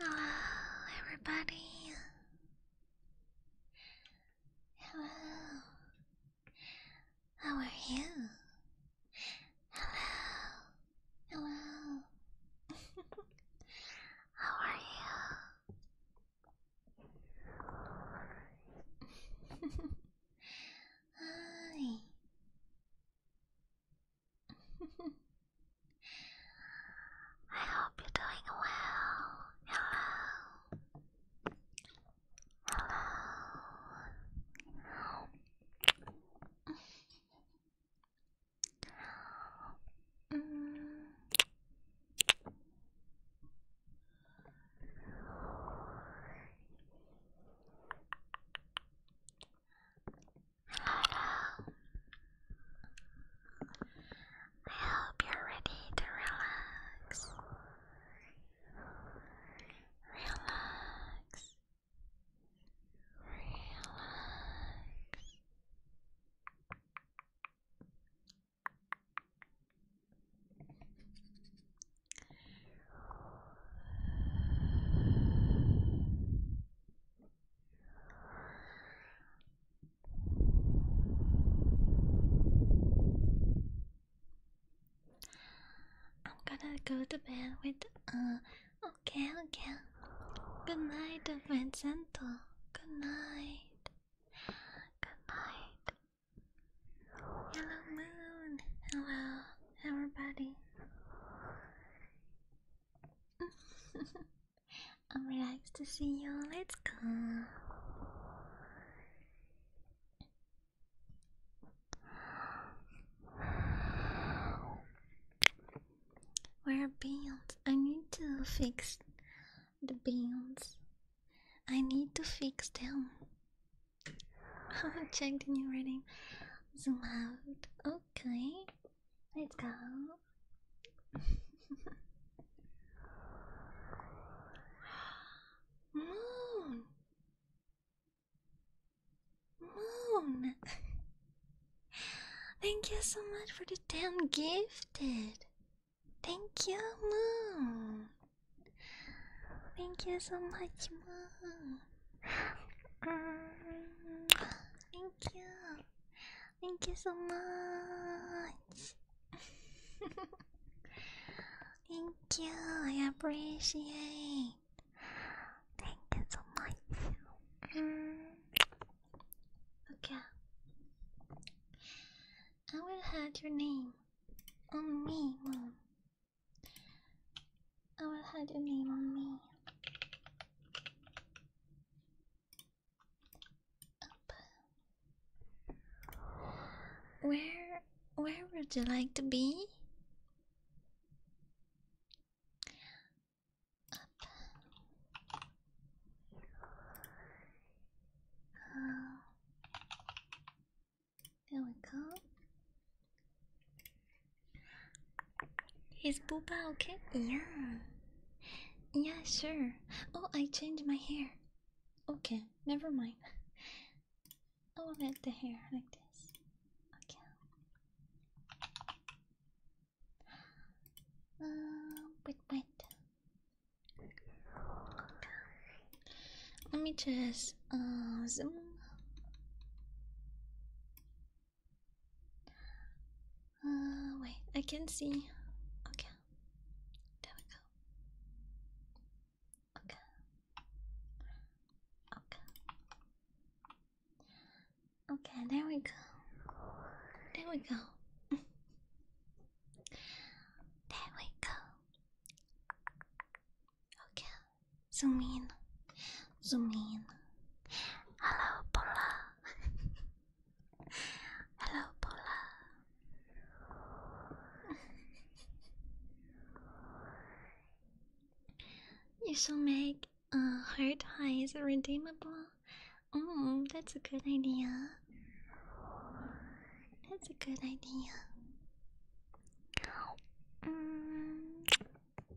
Hello, everybody. Hello. How are you? Hello. Hello. How are you? Hi. I hope you're doing well. Hello. Hello. mm. Hello. I hope you're ready to relax. Relax. Relax. I'm gonna go to bed with uh, okay okay good night Vincento good night good night Hello moon hello everybody I'm relaxed to see you. Let's go. Where are beans? I need to fix the beans. I need to fix them. Check the new rating. Zoom out. Oh, Okay, let's go. Moon, Moon. Thank you so much for the ten gifted. Thank you, Moon. Thank you so much, Moon thank you. Thank you so much. thank you. I appreciate. Thank you so much. Okay. I will have your name on me, mom. I will hide your name on me. Where where would you like to be? Oh. there we go. Is Booba okay? Yeah. Yeah, sure. Oh, I changed my hair. Okay, never mind. Oh, I will let the hair like this. Okay. Uh, wait, wait. Let me just uh zoom. Uh, wait, I can see. Okay, there we go. Okay, okay, okay. There we go. There we go. there we go. Okay. Zoom in. Zoom in. Hello, Paula. Hello, Paula. you should uh, make a heart eyes redeemable. Mm, that's a good idea. That's a good idea. Mm,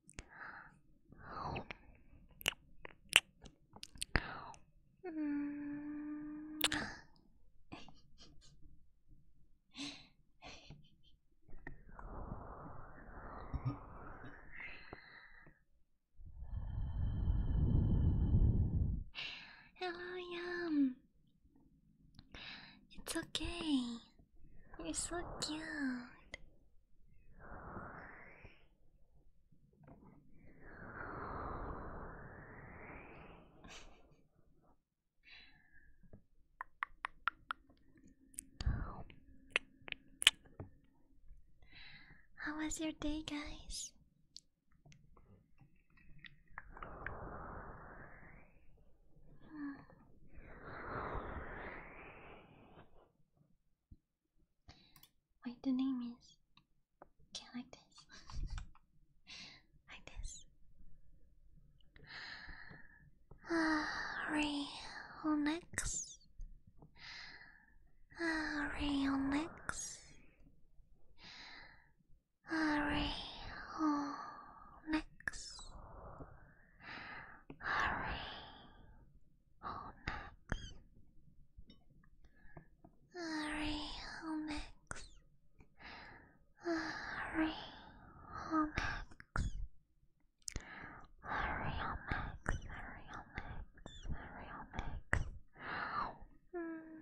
Hello, Yum. It's okay. You're so cute. How was your day, guys? Wait, the name is. Okay, like this. like this. Ah, Reonex. Ah, Reonex. Omex. Ari Omex. Ari Omex. Ari Omex. Ari Omex. Ari Omex. Mm.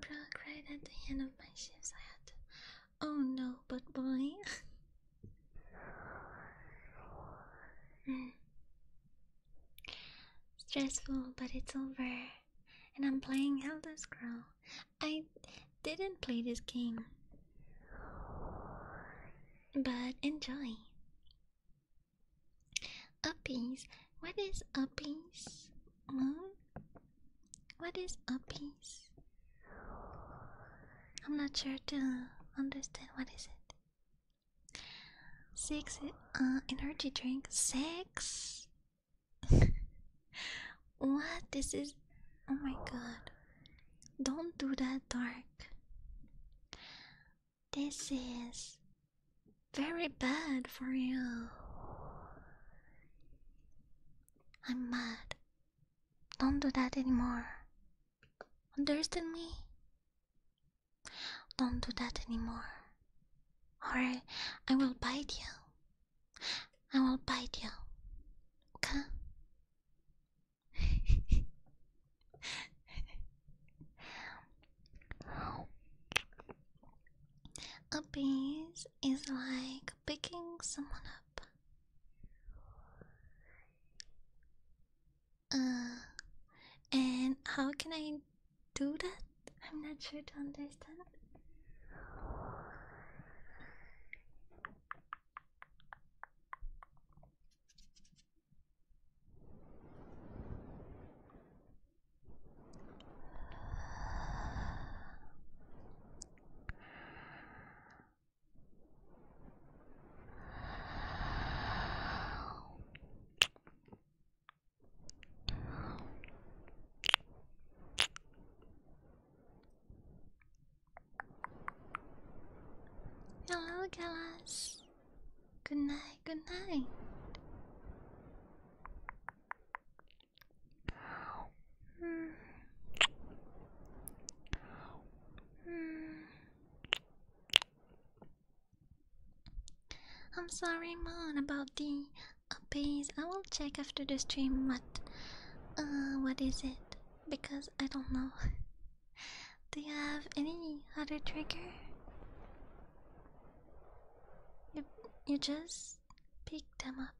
Broke right at the end of my shifts. I had Oh no, but boy. Stressful, but it's over. And I'm playing Elder Scroll. I didn't play this game. But enjoy. Uppies. What is uppies? Moon? What is a piece? I'm not sure to understand what is it. Six uh, energy drink. Six. what this is? Oh my god! Don't do that, dark. This is very bad for you. I'm mad. Don't do that anymore. Understand me? Don't do that anymore. Or I will bite you. I will bite you. Okay? A bee is like picking someone up. Uh, and how can I do that? I'm not sure to understand. Hello, Galas. Good night, good night. I'm sorry, Mon, about the updates. I will check after the stream but uh, what is it? Because I don't know. Do you have any other trigger? You you just pick them up.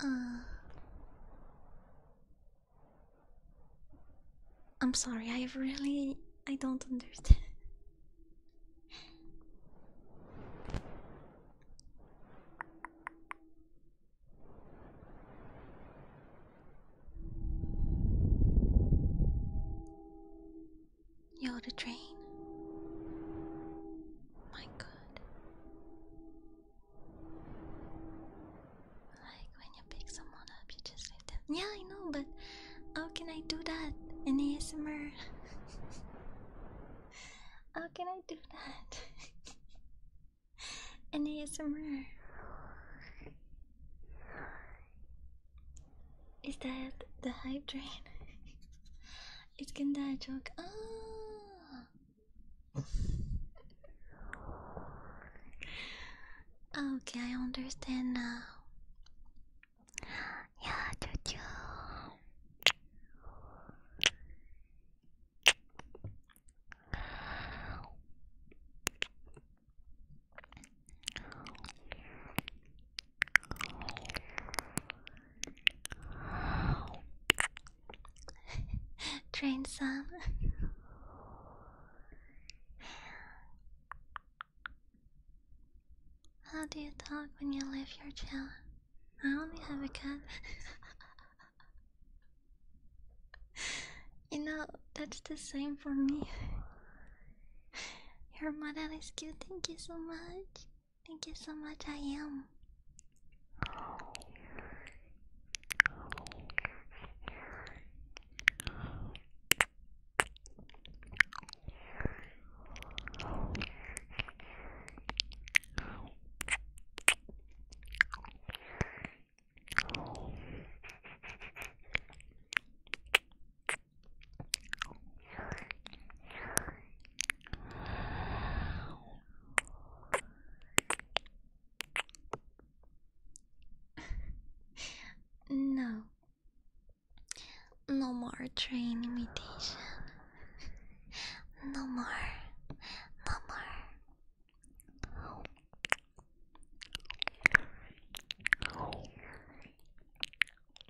Uh. I'm sorry, I really. I don't understand. You're the drain. My god. Like when you pick someone up, you just leave them. Yeah, I know, but how can I do that in ASMR? how can I do that? in ASMR. Is that the hype train? It's gonna İskender çok. Aa. Ah. okay, I understand now. Yeah, Jojo. Train some. How do you talk when you leave your child? I only have a cat. you know, that's the same for me. Your model is cute, thank you so much. Thank you so much, I am no, no more train imitation. No more, no more.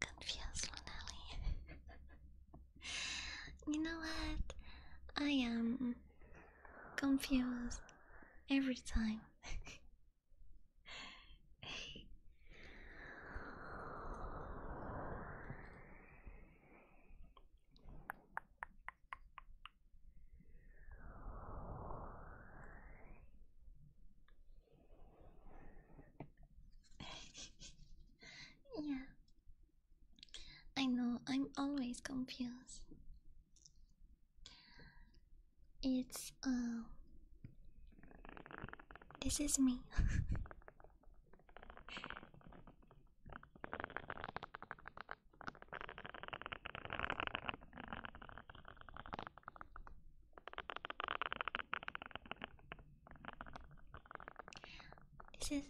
Confused Lonelli. you know what? I am confused every time. yeah. I know, I'm always confused. It's, uh. This is me. This is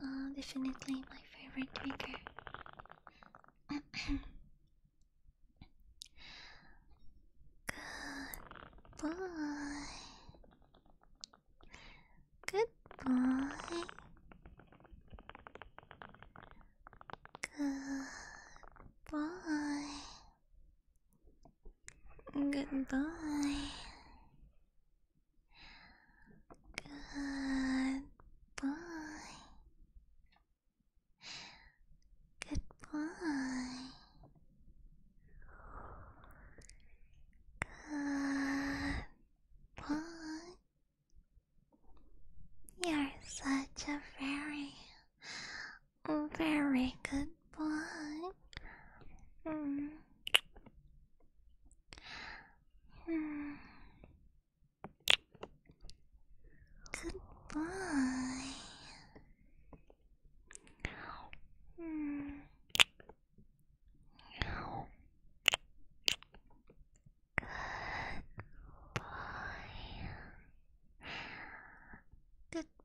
uh, definitely my favorite trigger. Good boy. Good boy. Good boy. Goodbye. Goodbye. Goodbye. Goodbye. You're such a very a very good boy. Mm. Mm. Goodbye. Mm. Goodbye. Goodbye.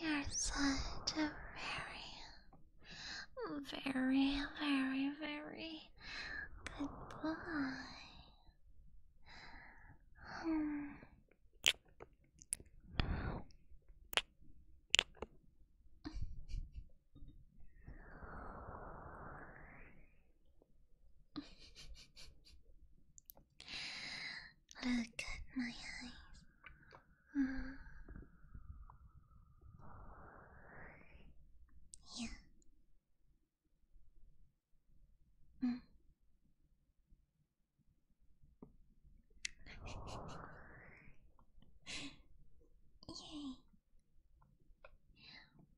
You're such a very, very, very, very good boy. Look at my eyes. Mm. Yeah. Mm.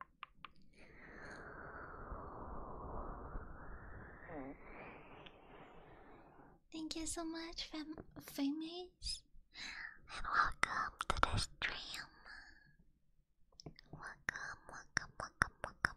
Yay. Thank you so much, fam famous, and welcome to the stream. Welcome, welcome, welcome, welcome.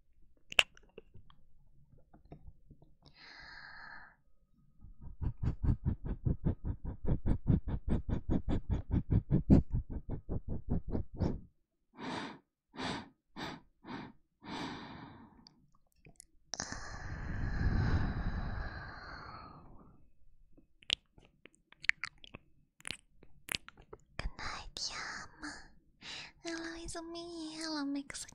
Good night, Yam. Hello, it's me. Hello, Mexican.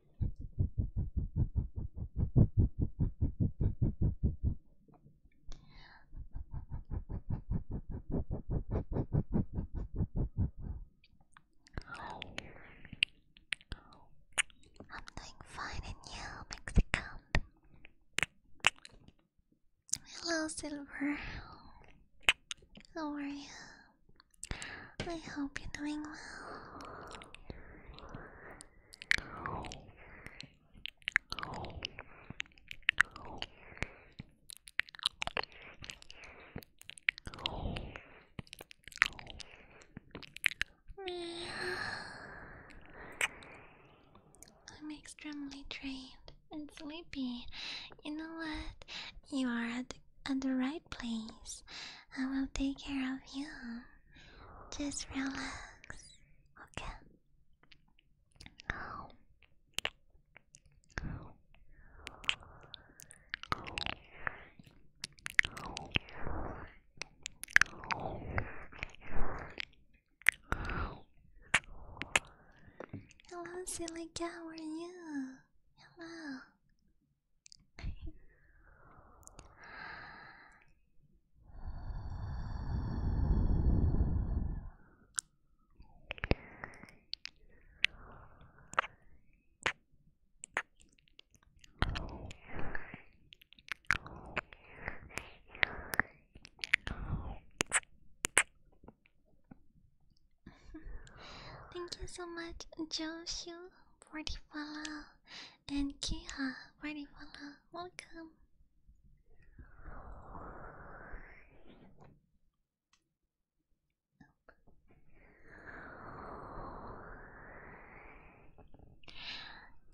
I'm doing fine in you, Mexico. Hello, Silver. How are you? I hope you're doing well. I'm extremely drained and sleepy. You know what? You are at, at the right Please, I will take care of you. Just relax, okay? Hello, silly where are you? Hello. Thank you so much, Joshua. 40 follow. And Kiha, 40 follow. Welcome.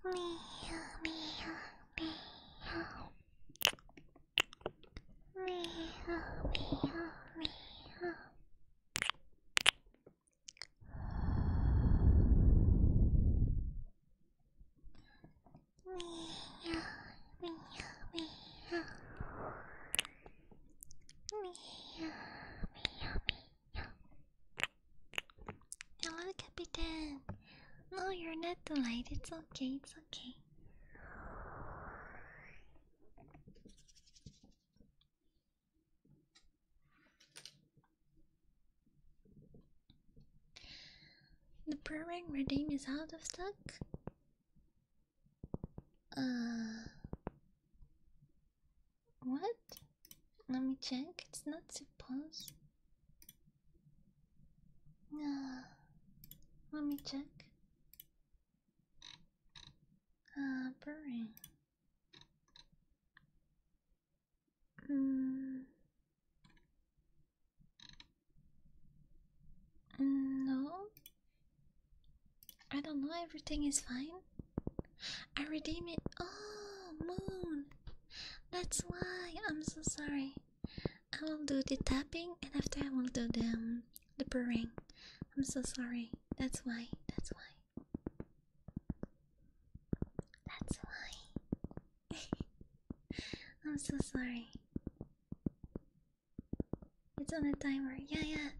Mia, Mia, Mia. Mia, Mia, Mia. Meow, meow, meow. Meow, meow, meow. Hello, Captain. No, you're not too late. It's okay. It's okay. The Brewing Redeem is out of stock? Uh. What? Let me check. It's not supposed. Uh, let me check. Uh, brewing. Mm, mm. No, I don't know. Everything is fine. I redeem it. Oh, moon. That's why. I'm so sorry. I will do the tapping, and after I will do the um, the purring. I'm so sorry. That's why. That's why. That's why. I'm so sorry. It's on the timer. yeah. Yeah,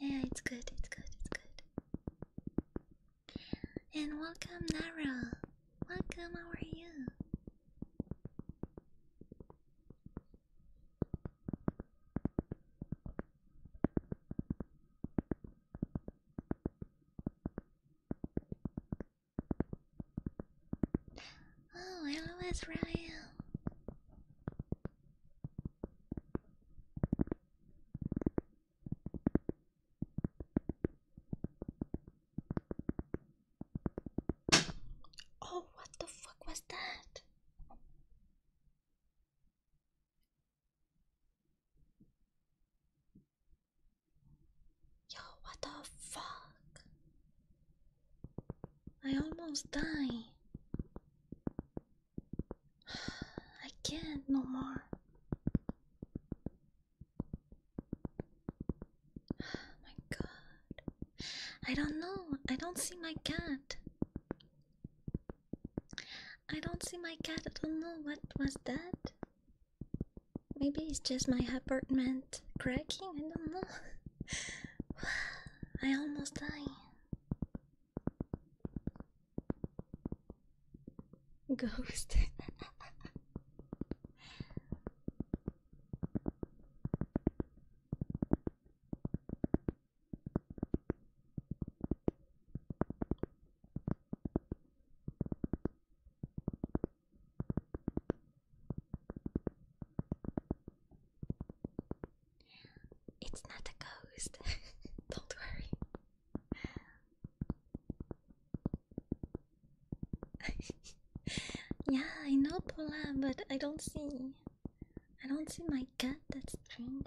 yeah, it's good. It's good. It's good. And welcome, Nara. Welcome. How are you? Oh, I was right. Oh, what the fuck was that? Yo, what the fuck? I almost die. I can't no more. my god. I don't know. I don't see my cat. I don't see my cat. I don't know what was that. Maybe it's just my apartment cracking. I don't know. I almost died. Ghost. It's not a ghost. Don't worry. yeah, I know Paula, but I don't see. I don't see my cat. That's strange.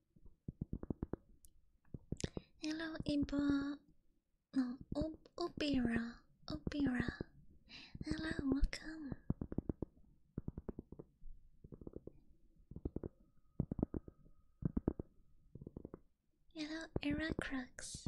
Hello, Ibra. No, Obira. Obira. Hello, welcome. Hello, Eracrux.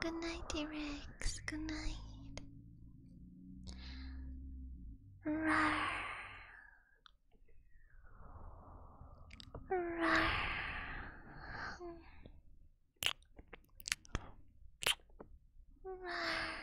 Good night, T-Rex. Good night. Rawr. Rawr. Rawr.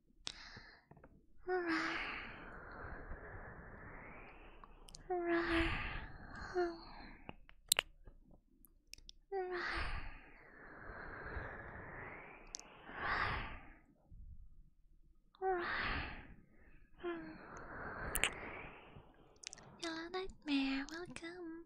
Yellow Nightmare, welcome.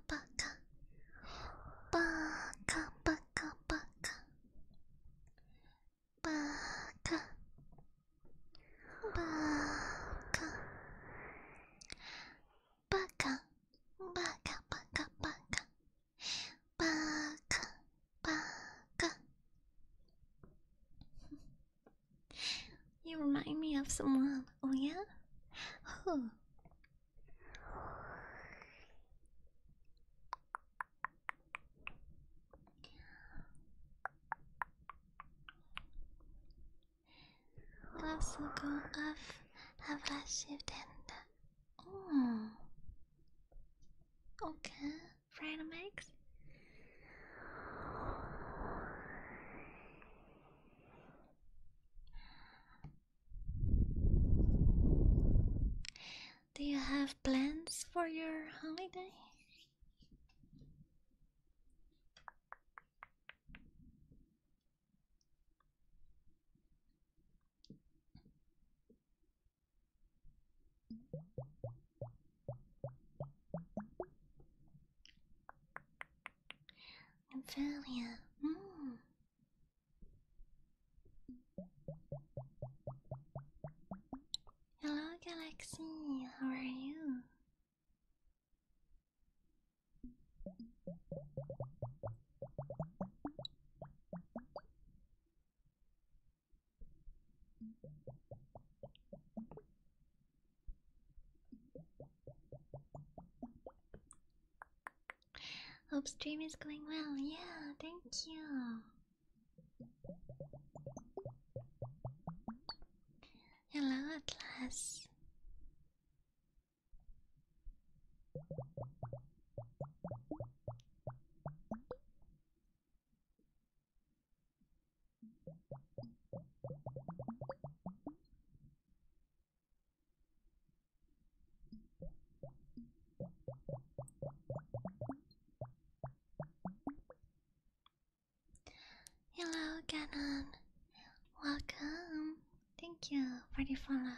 カバカバカバカバカバカバカバカバカバカバカバカバカ You remind me of someone, oh yeah? Who? Loves will go off, have last shift and... Oh. Okay, fried mix. Do you have plans for your holiday? Ophelia, hmm. Hello, Galaxy. How are you? Hope stream is going well. Yeah, thank you. Hello, Atlas. Hello, Ganon. Welcome. Thank you for the follow.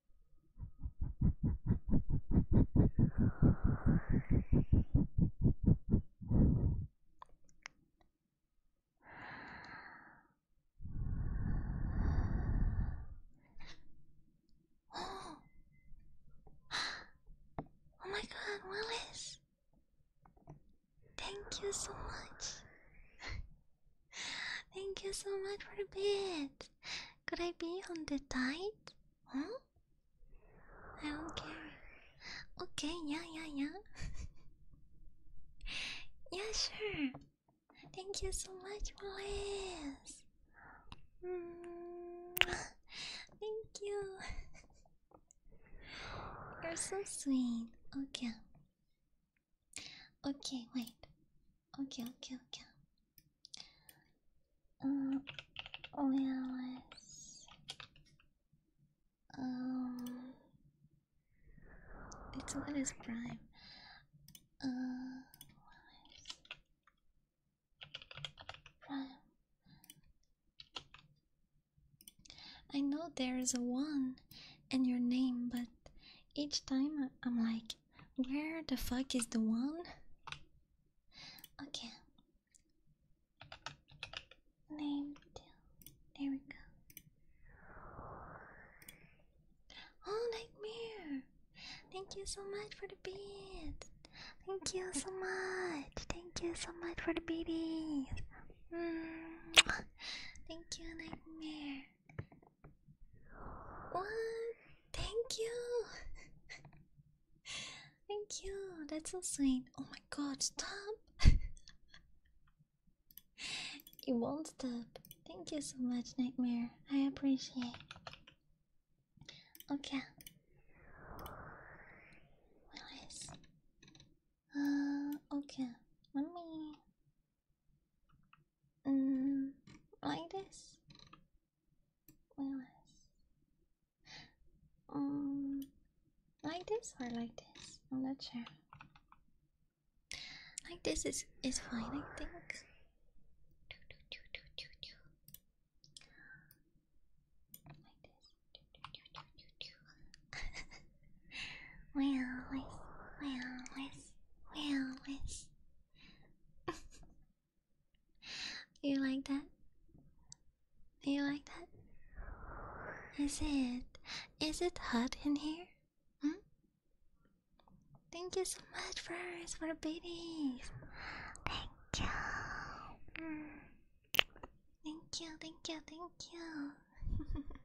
Oh. oh my god, Willis! Thank you so much. Thank you so much for the bit. Could I be on the tight? Huh? I don't care. Okay, yeah, yeah, yeah. yeah, sure. Thank you so much, Liz. Mm. Thank you. You're so sweet. Okay. Okay, wait. Okay, okay, okay. Uh, well, Um, it's what is prime? Uh, prime. I know there is a one in your name, but each time I'm like, where the fuck is the one? Okay. Name deal. There we go. Oh, nightmare! Thank you so much for the beat. Thank you so much. Thank you so much for the beaties. Mm. Thank you, nightmare. What? Thank you. Thank you. That's so sweet. Oh my god, stop. it won't stop. Thank you so much, Nightmare. I appreciate. Okay. What else? Uh okay. Let me Mm, like this. Well, um, like this or like this? I'm not sure. Like this is is fine, I think. Like well, well, well, well, well. you like that? Do You like that? Is it? Is it hot in here? Hmm? Thank you so much first for the babies. Thank you, thank you, thank you.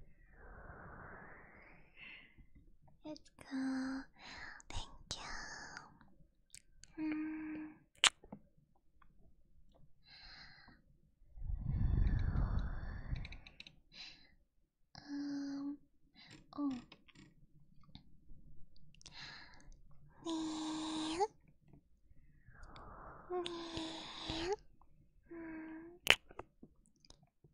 Let's go. Thank you. Mm. Um. Oh. Hmm.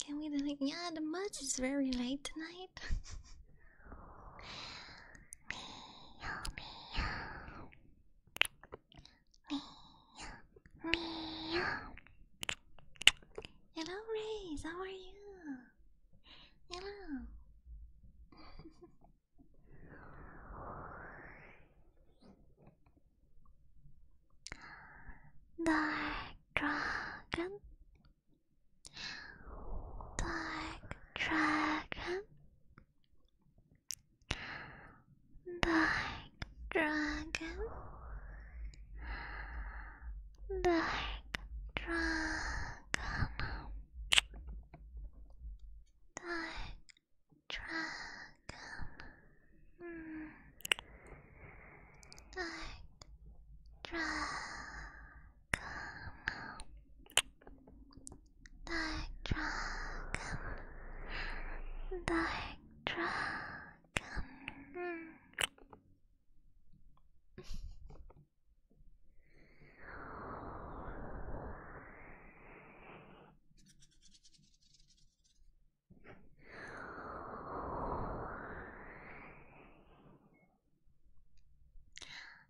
Can we do like yeah the match is very late tonight? Meow, meow. Hello, Rays. How are you? Hello. Dark dragon. Dark dragon. Dark Dragon, Dark Dragon, Dark Dragon, mm. Dark Dragon. Dark dragon. Dark dragon.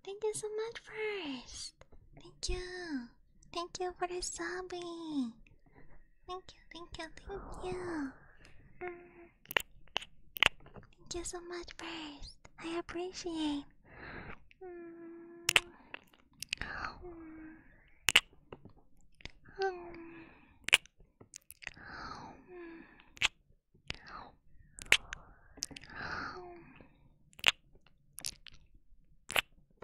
Thank you so much, for us. Thank you. Thank you for the subbing. Thank you, thank you, thank you. Thank you so much first. I appreciate.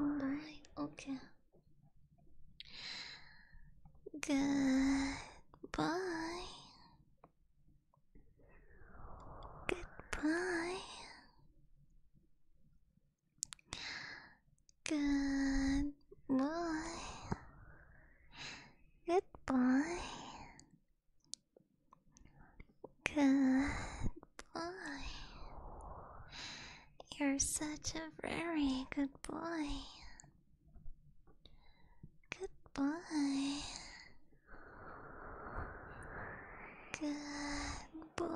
Alright, okay. Goodbye. Goodbye. Good boy. Good boy. Good boy. You're such a very good boy. Good boy. Good boy.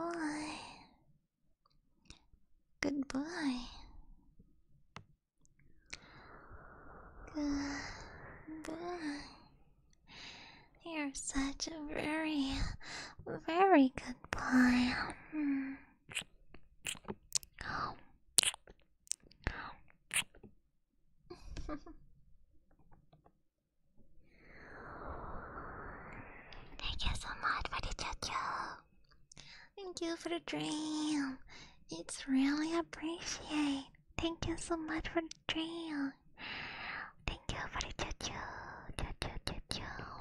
Good boy. Good boy. You're such a very, very good boy. Thank you so much for the jojo. Thank you for the dream. It's really appreciated. Thank you so much for the dream. Thank you for the jojo. Jojo jojo.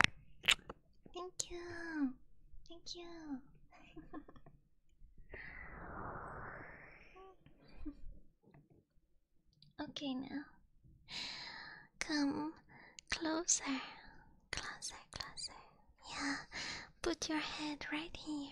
Thank you. Thank you. Okay, now come closer, closer, closer. Yeah, put your head right here.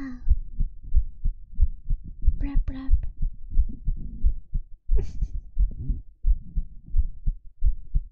Ah, brap brap.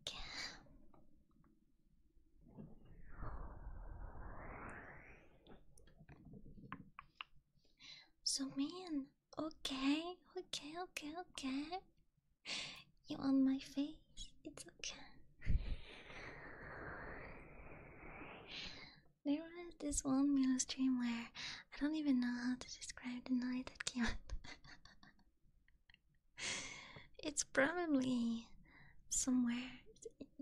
Okay. So mean. Okay, okay, okay, okay. You on my face? It's okay. There was this one new stream where I don't even know how to describe the night that came It's probably somewhere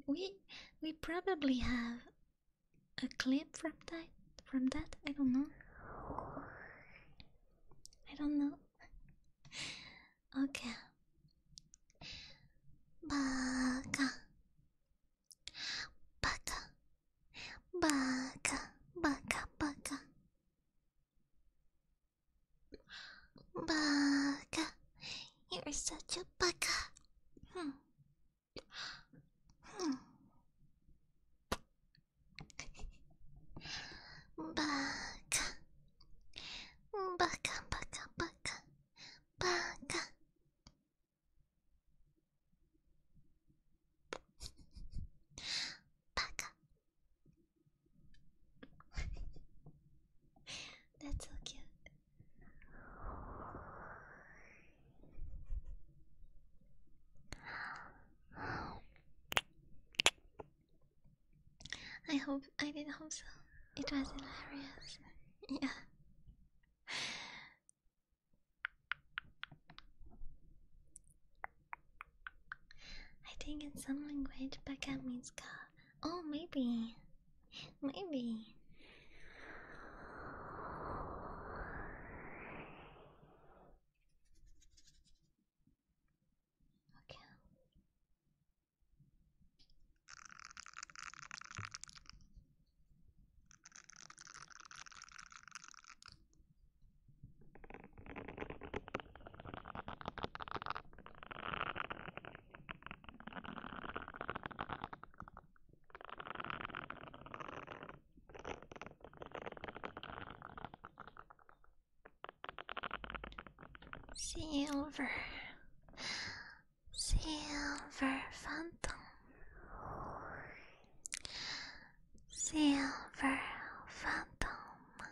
we we probably have a clip from that from that I don't know I don't know Okay Baka Baka, baka, baka, baka. Baka, you're such a baka. Hmm. Hmm. Baka, baka, baka, baka, baka. Baka. That's so cute. I hope I didn't hope so. It was hilarious. Yeah. I think in some language baka means ka. Oh, maybe. Maybe. Okay. Silver, silver phantom. Silver Phantom.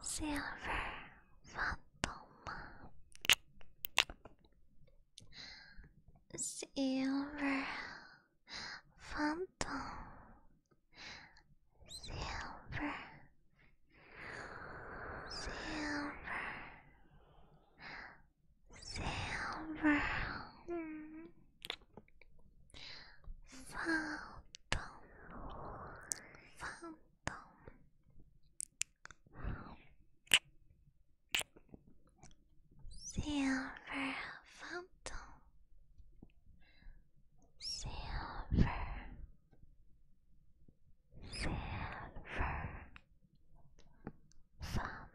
Silver Phantom. Silver Phantom. Silver Silver. Silver phantom phantom silver phantom silver silver ph.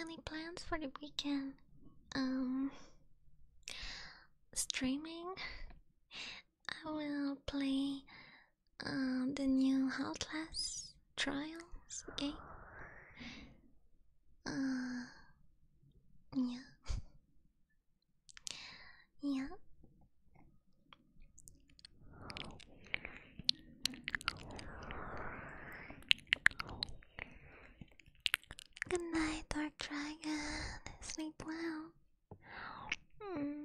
Any plans for the weekend? Um, streaming? I will play uh, the new Outlast Trials game. Uh, yeah. yeah. Good night, Dark Dragon. Sleep well. Mm.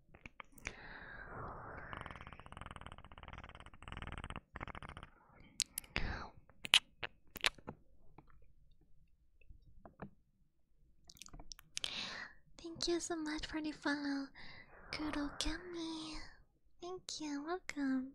Thank you so much for the follow, Kurokami. Thank you, welcome.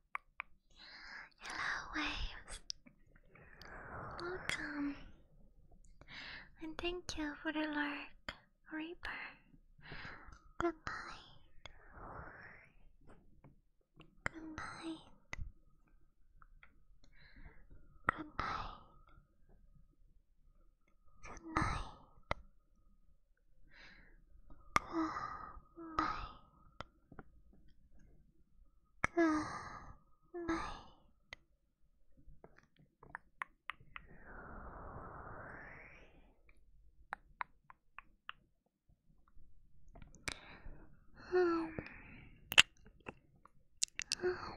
Hello, waves. Welcome. And thank you for the lark, Reaper. Good night. Good night. Good night. Good night. Good night. Good night. Um. Um.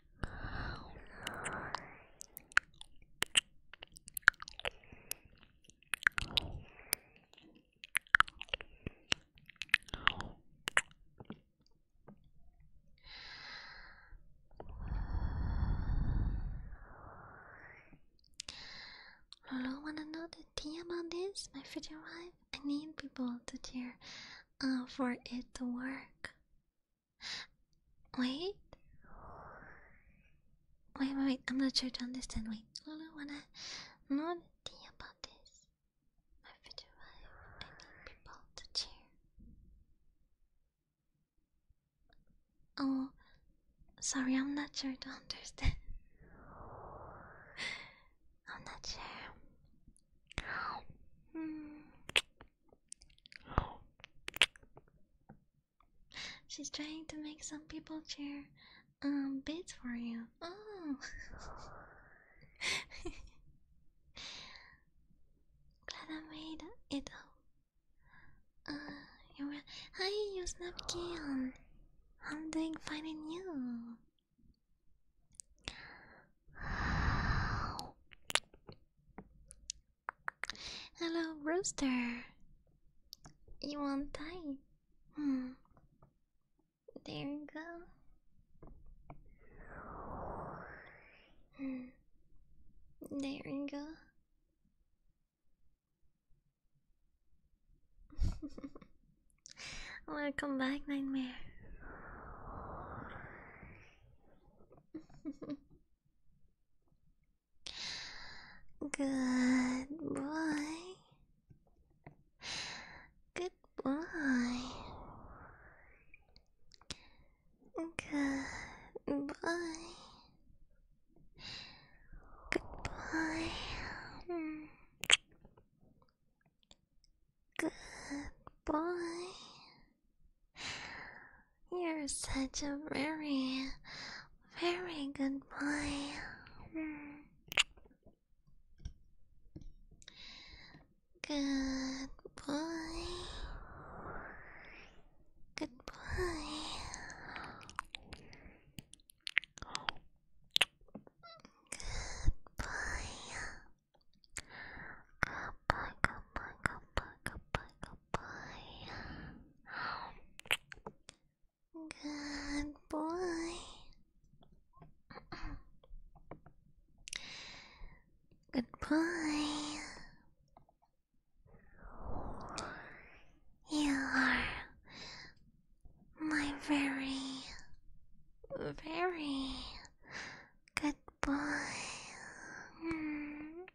Lolo wanna know the tea about this? My future wife? I need people to cheer uh, for it to work. Wait. Wait, wait, I'm not sure to understand. Wait, I don't wanna know the thing about this? My future wife. I need people to cheer. Oh, sorry. I'm not sure to understand. I'm not sure. Hmm. She's trying to make some people cheer um bids for you. Oh Glad I Uh you Hi you snapkin um, I'm doing fine and you Hello, Rooster. You want time? Hmm. There you go. Hmm. There you go. Welcome back, Nightmare. Goodbye. boy. Good boy. Good You're such a very, very good boy. Good boy. Good boy. Good boy. Good boy, good boy, boy. Good boy. Goodbye. You are my very, very good boy. Hmm.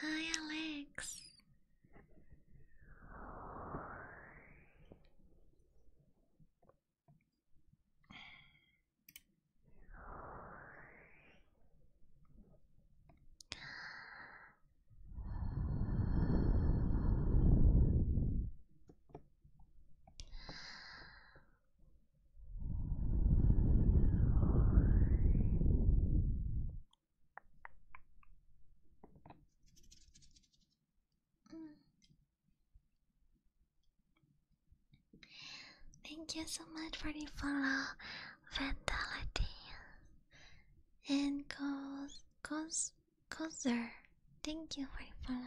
Hi, Alex. Mm. Thank you so much for the follow, Vitality. And goes, goes, goes Thank you for the follow.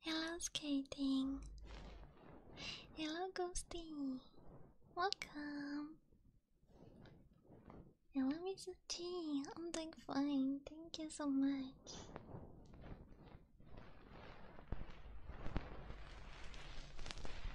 Hello, skating. Hello, Ghosty. Welcome. Hello, Mr. i I'm doing fine. Thank you so much.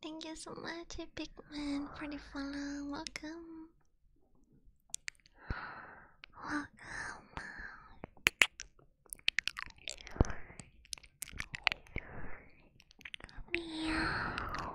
Thank you so much, Big Man, for the follow. Welcome. Welcome. Meow.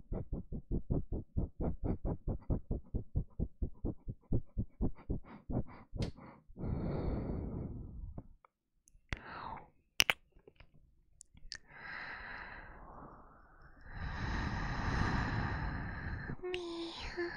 Meow. Meow.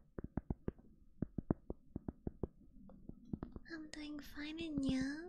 I'm doing fine and you?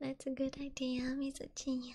That's a good idea, Mizuchi.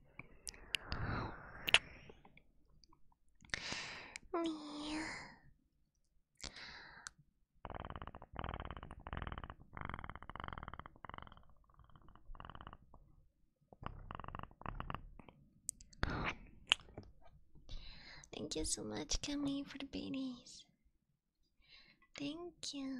Thank you so much, Camille, for the babies. Thank you.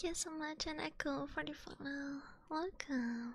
Thank you so much, and Echo, for the final Welcome.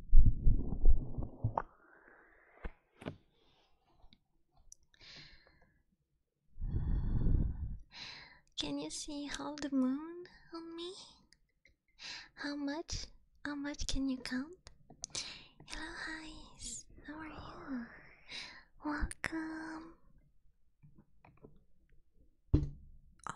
Can you see how the moon on me? How much? How much can you count? Hello, guys. How are you? Welcome. Oh.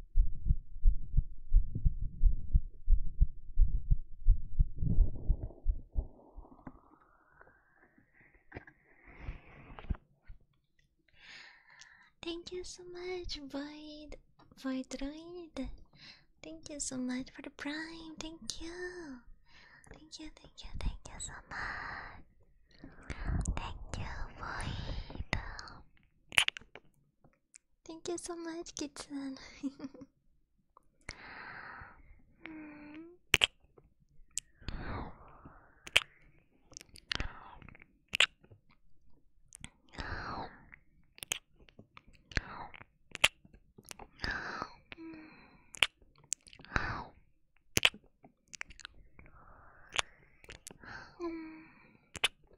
Thank you so much, Void, Voidroid. Thank you so much for the prime. Thank you. Thank you, thank you, thank you so much. Thank you, Void. Thank you so much, Kitsun.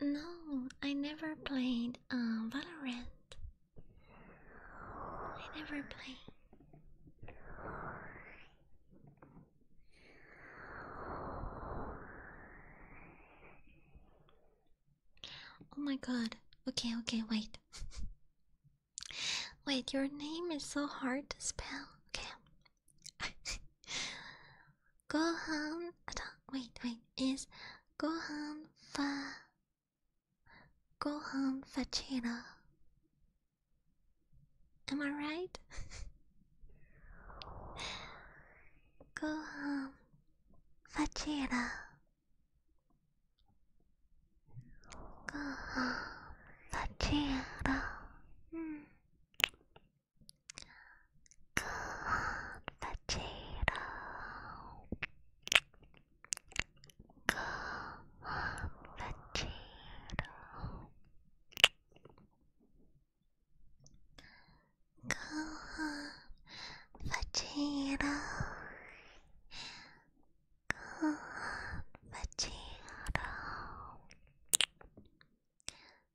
No, I never played uh, Valorant. I never played. Oh my god. Okay, okay, wait. wait, your name is so hard to spell. Okay, Gohan. Wait, wait. Is Gohan Fa. Gohan Fachira. Am I right? Gohan Fachira. Gohan Fachira. Mm. Good potato. Good potato. Good potato. Good potato.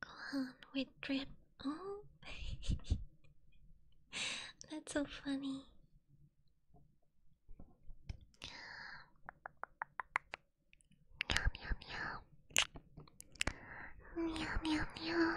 Go on, we drip. Oh, that's so funny. Meow meow meow. Meow meow meow.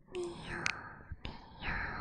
meow, meow, meow.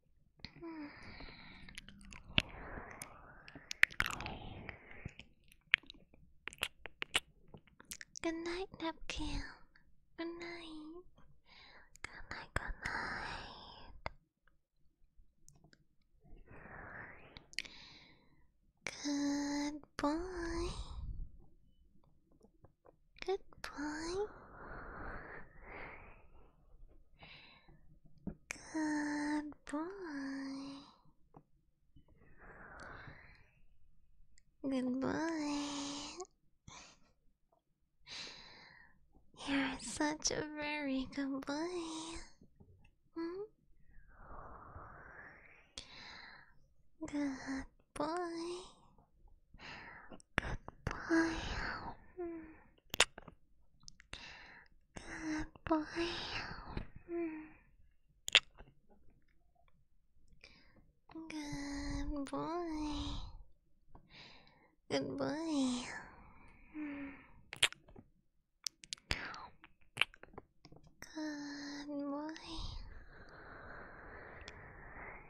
Good night, Napkin. Good night. Good night, good night. Good Goodbye. Good boy. Good boy. You're such a very good boy. Hmm? Good boy. Good boy. Hmm. Good boy. Good boy. Good boy. Good boy.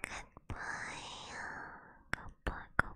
Good boy. Good boy. Good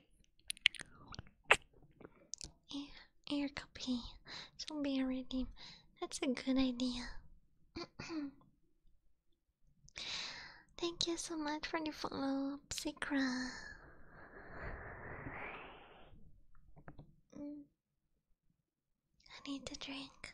Yeah, air copy. So be a redeem. That's a good idea. Thank you so much for the follow, Psychra. Mm. I need to drink.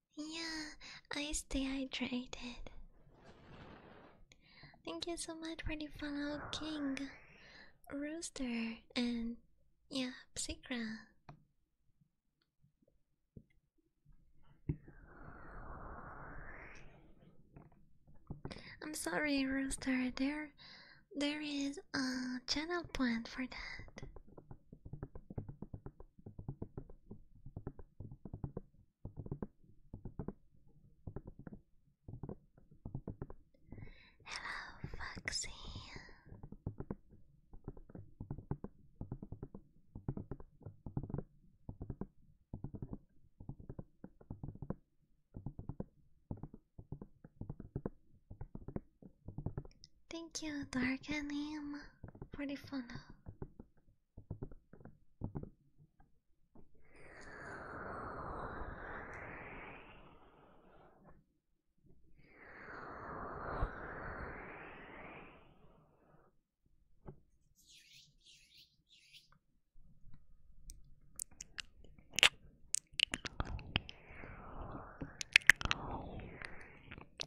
Yeah, I stay hydrated. Thank you so much for the follow, King, Rooster, and yeah, Psychra. I'm sorry, Rooster. There, there is a channel plan for that. Hello, Foxy. Thank you, Dark Anim, for the follow.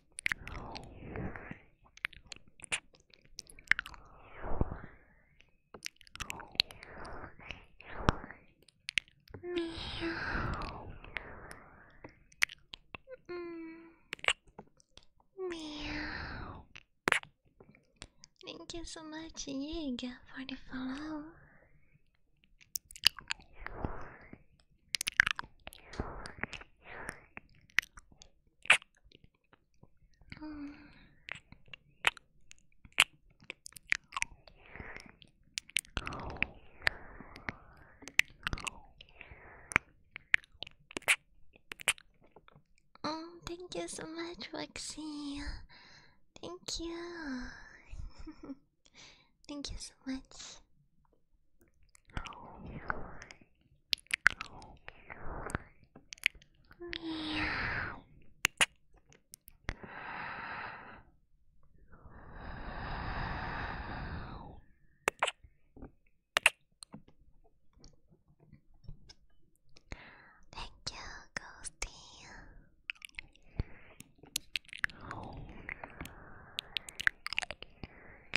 Meow. Mm. Meow. Thank you so much, Yiga, for the follow. Oh, thank you so much, Roxy. Thank you. Thank you so much. Thank you, Ghosty.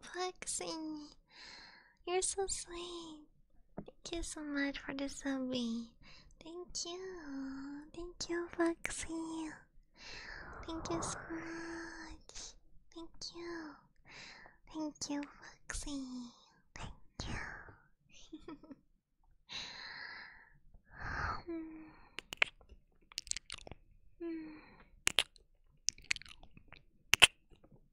Foxy, you're so sweet. Thank you so much for the zombie. Thank you. Thank you, Foxy. Thank you so much. Thank you. Thank you, Foxy. Thank you. Hmm. Hmm.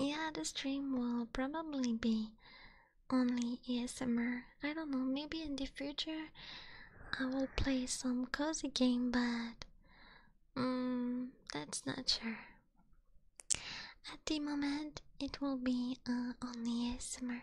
Yeah, the stream will probably be only ASMR. I don't know, maybe in the future I will play some cozy game, but mm, that's not sure. At the moment, it will be uh, only ASMR.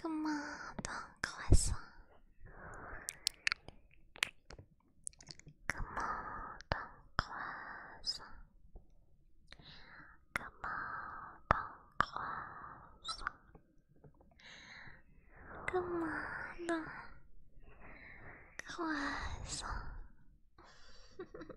Comment un croissant. comment un croissant. Comment un croissant. comment croissant.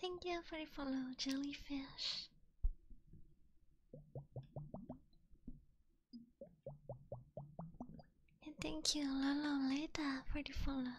Thank you for the follow, jellyfish thank you, Lolo Leda, for the follow.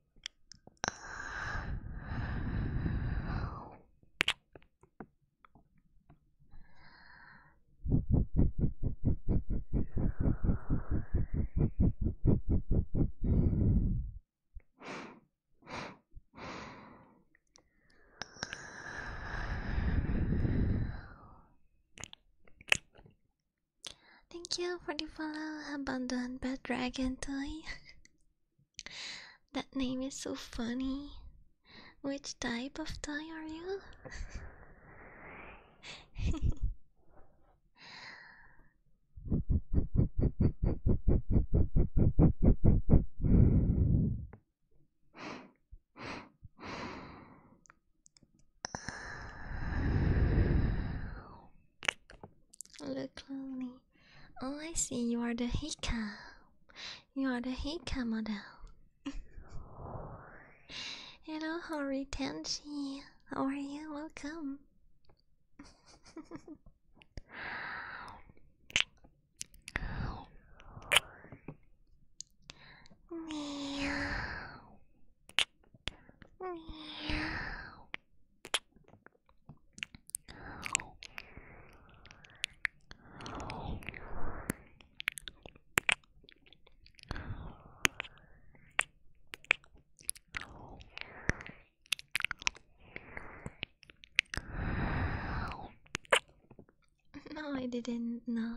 Thank you for the follow, abandoned bad dragon toy. That name is so funny. Which type of tie are you? Look lonely. Oh, I see. You are the Hika. You are the Hika model. Hello, Hori Tenchi. How are you? Welcome. Meow. Meow. No, I didn't know.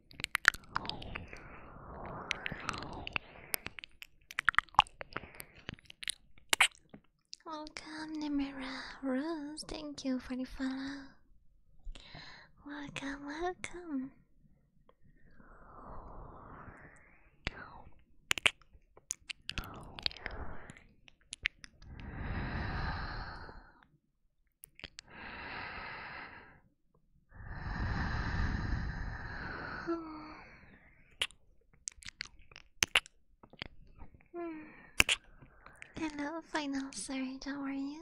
Welcome, Nemera Rose. Thank you for the follow. Welcome, welcome. Hello, final Sorry, How are you?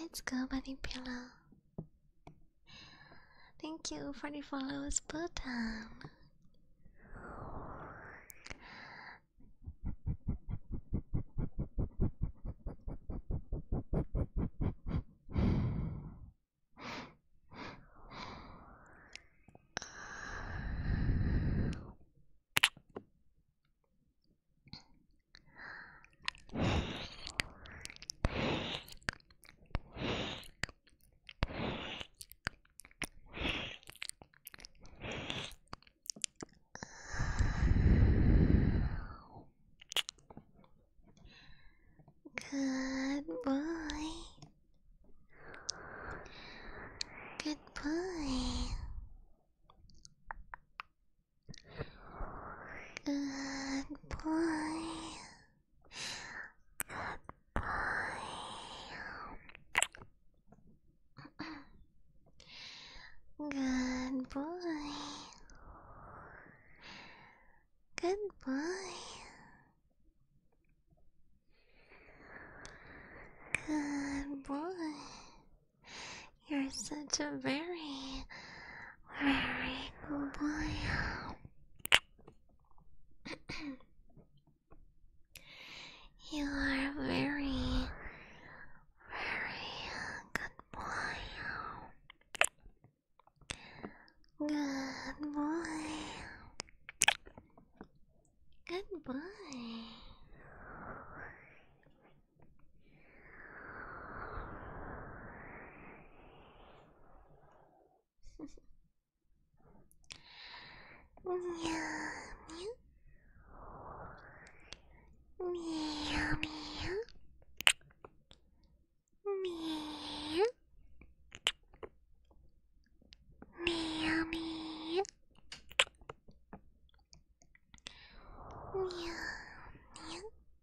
Let's go, buddy pillow. Thank you for the follows button. Good boy. Good boy. Good boy. Good boy. Good boy. Good boy. Good boy. You're such a very you are very, very good boy. Good boy. Good boy. にゃーにゃみやみやみやみやみやにゃーにー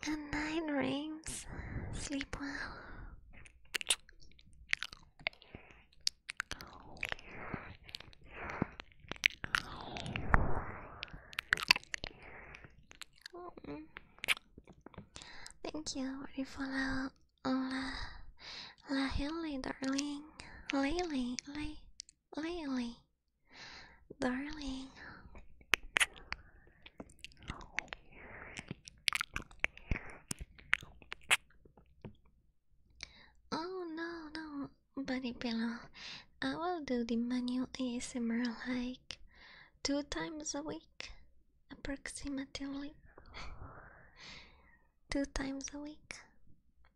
Good night, Rings. Sleep well. Thank you for la la la Haley, darling. Lately, lay, Darling. Oh no, no, buddy pillow. I will do the manual ASMR like two times a week, approximately. two times a week.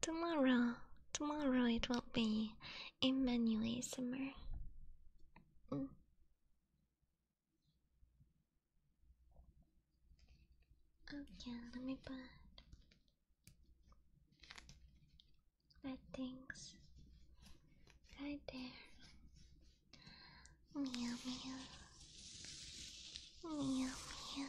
Tomorrow, tomorrow it will be a manly summer. Mm. Okay, let me put that things right there. Meow meow. Meow meow.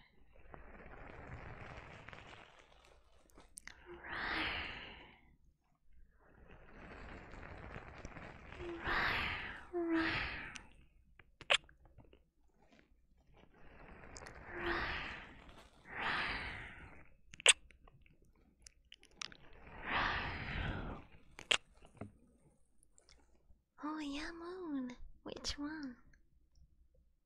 Oh yeah, Which one?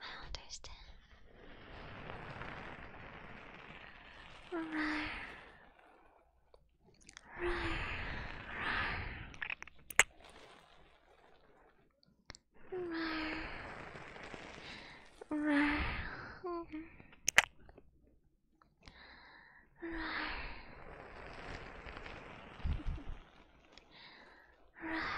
I understand. Rawr. Rawr. Rawr. Rawr. Rawr. Rawr.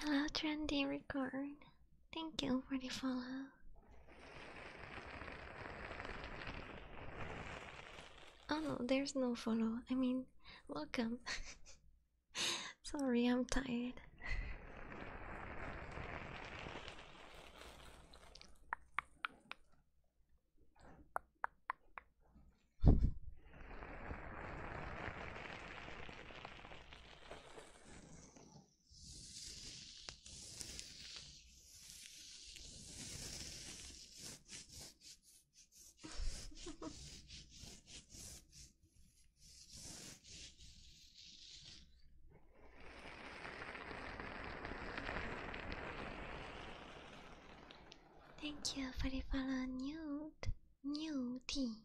Hello, Trendy Record. Thank you for the follow. Oh no, there's no follow. I mean, welcome. Sorry, I'm tired. Thank you for the follow nude new tea.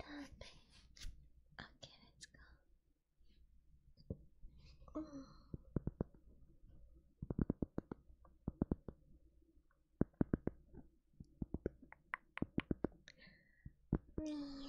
Okay, let's go. Ooh. Yeah.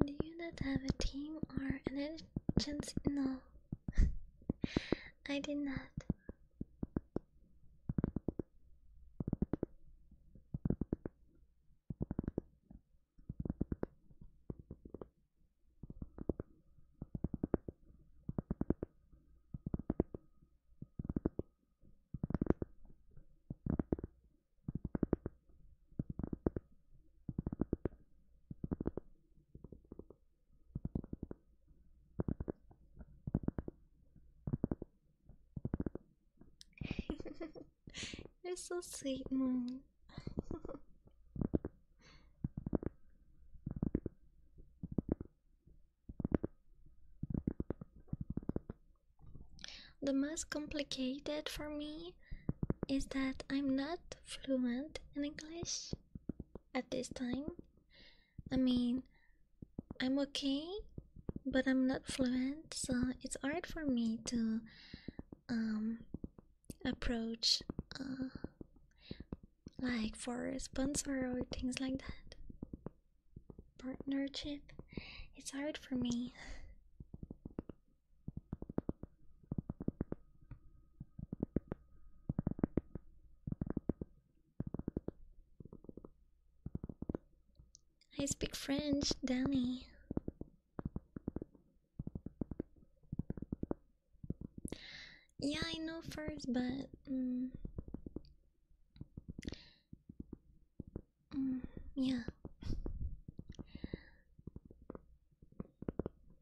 Do you not have a team or an agency? No, I did not. You're so sweet, Moon. the most complicated for me is that I'm not fluent in English at this time. I mean, I'm okay, but I'm not fluent, so it's hard for me to um, approach uh, like for a sponsor or things like that. Partnership, it's hard for me. I speak French, Danny. Yeah, I know first, but um, yeah.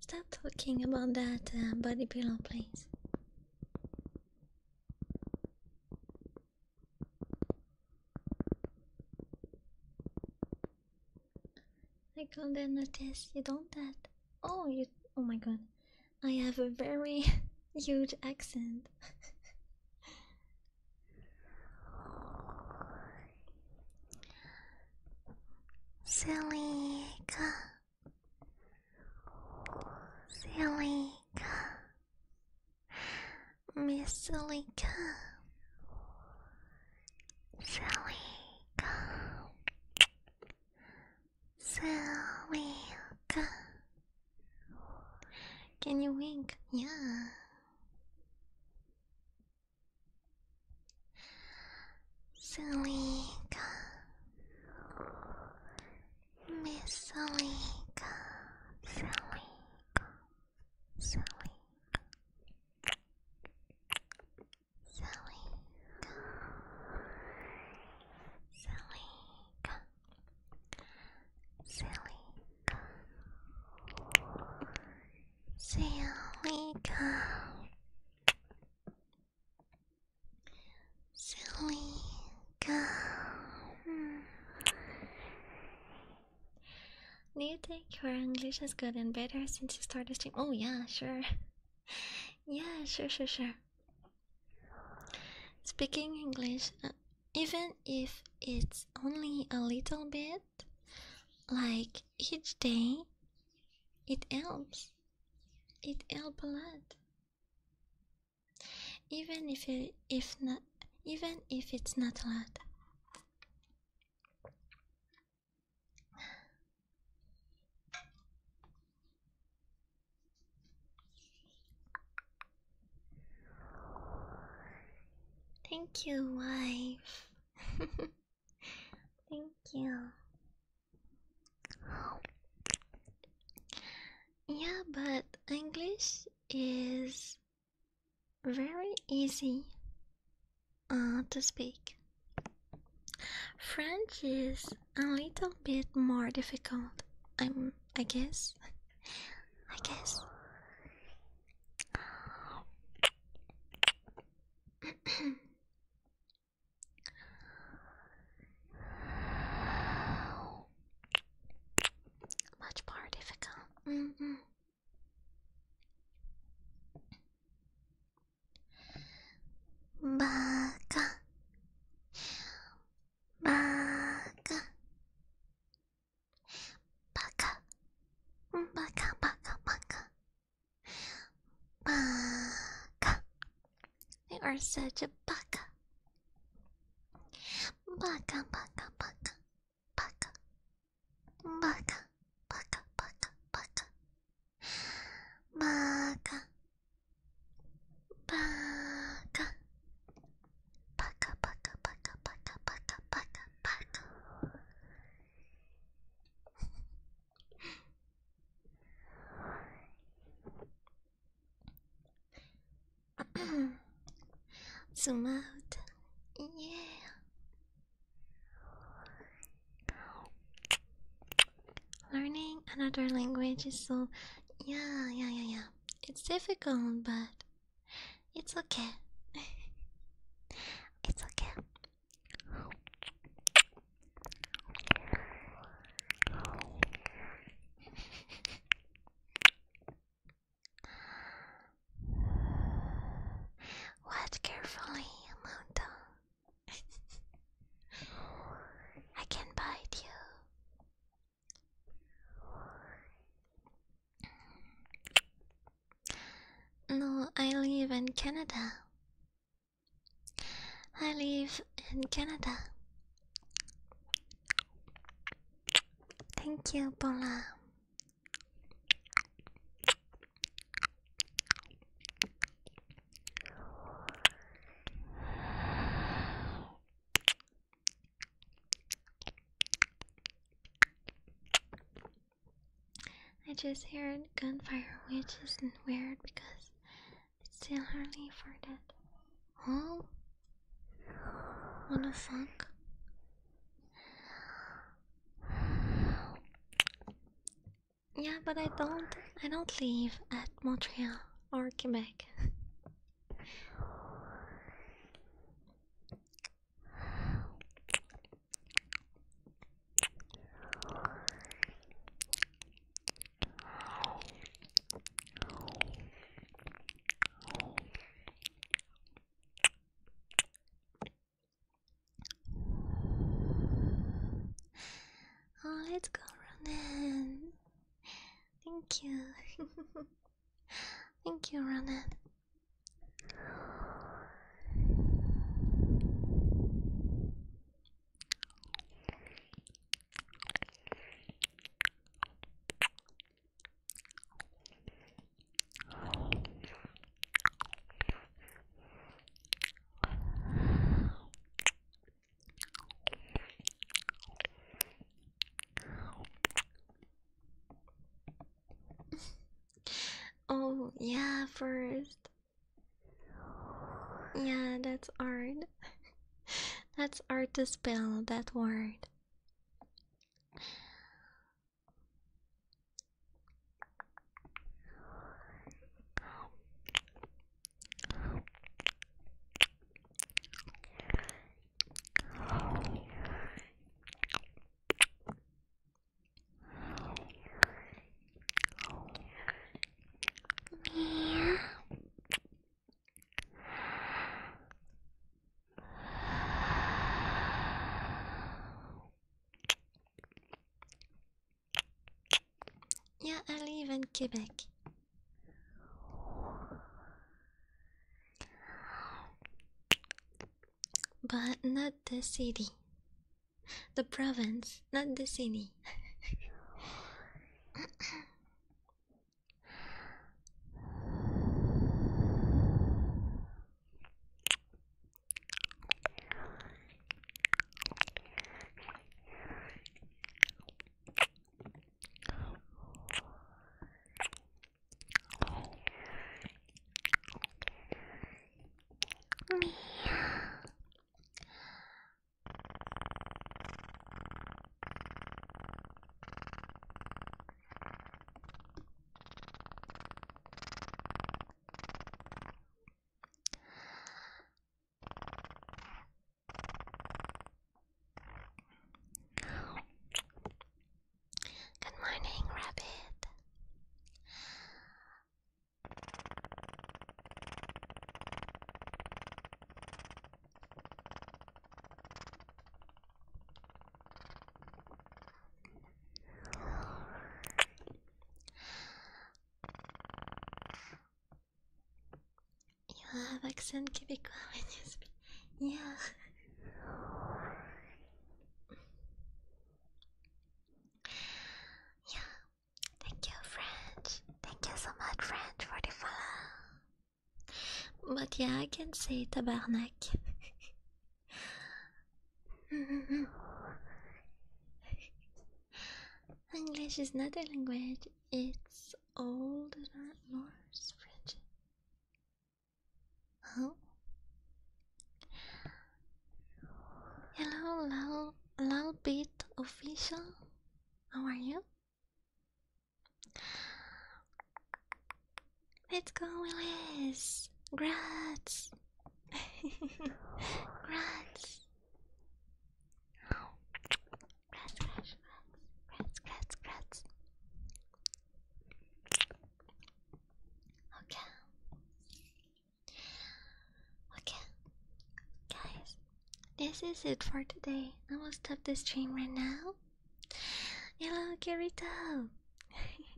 Stop talking about that uh, body pillow, please. I got not notice. You don't that. Oh, you. Oh my god. I have a very huge accent. silly ka silly ka miss silly ka silly ka silly ka can you wink yeah Salika, Miss Salika, Salika, Salika, Salika, Salika, Salika, Salika. Silly go. Hmm. Do you think your English is good and better since you started stream? Oh yeah, sure. yeah, sure, sure, sure. Speaking English, uh, even if it's only a little bit, like each day, it helps. It helps a lot. Even if if not, even if it's not a lot. Thank you, wife. Thank you. Yeah, but English is very easy uh, to speak. French is a little bit more difficult. I'm, I guess. I guess. Much more difficult. Mm -mm. Baka. Baka. Baka. Baka, baka, baka. Baka. You are such a baka. Baka, baka, baka, baka. Baka, baka, baka, baka. Baka. Baka. Baka, baka, baka, baka, baka, baka, baka. Zoom out. Yeah. Learning another language is so. Yeah, yeah, yeah, yeah. It's difficult, but it's okay. it's okay. Watch carefully, Mountain. I can bite you. No, I live in Canada. I live in Canada. Thank you, Paula. I just heard gunfire, which isn't weird because it's still early for that. Oh, what a fuck? Yeah, but I don't. I don't live at Montreal or Quebec. Oh, let's go Ronan. Thank you. Thank you, Ronan oh, yeah, first. Yeah, that's hard. that's hard to spell that word. Yeah, I live in Quebec. But not the city. The province, not the city. Good morning, Rabbit. You have accent Quebecois when you speak. Yeah. Yeah, Thank you, French. Thank you so much, French, for the follow. But yeah, I can say tabarnak. English is not a language, it's Old Norse French. Oh. Hello, hello little bit official. How are you? Let's go, Willis! Grats! Grats! Grats, grats, grats, grats, grats. Okay. Okay, guys, this is it for today. I will stop the stream right now. Hello, Kirito.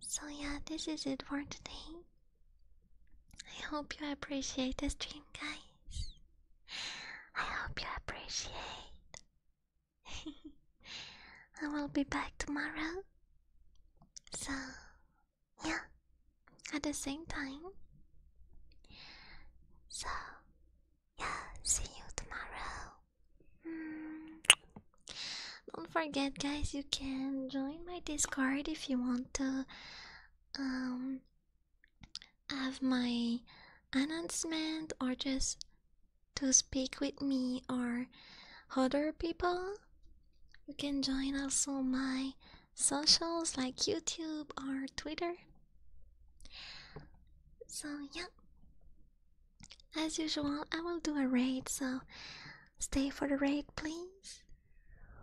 so yeah, this is it for today. I hope you appreciate the stream, guys. I hope you appreciate. I will be back tomorrow. So yeah, at the same time. So, yeah, see you tomorrow. Hmm. Don't forget, guys, you can join my Discord if you want to. Um, have my announcement or just to speak with me or other people. You can join also my socials like YouTube or Twitter. So, yeah, as usual, I will do a raid, so stay for the raid, please.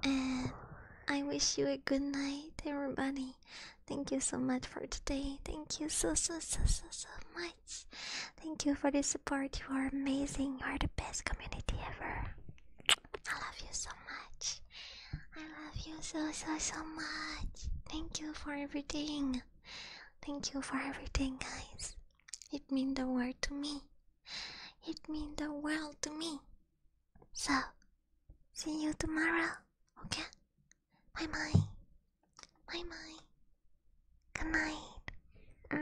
And I wish you a good night, everybody. Thank you so much for today. Thank you so, so, so, so, so much. Thank you for the support. You are amazing. You are the best community ever. I love you so much. I love you so, so, so much. Thank you for everything. Thank you for everything, guys. It means the world to me. It means the world to me. So, see you tomorrow, okay? Bye bye. Bye bye. Good night. -hmm.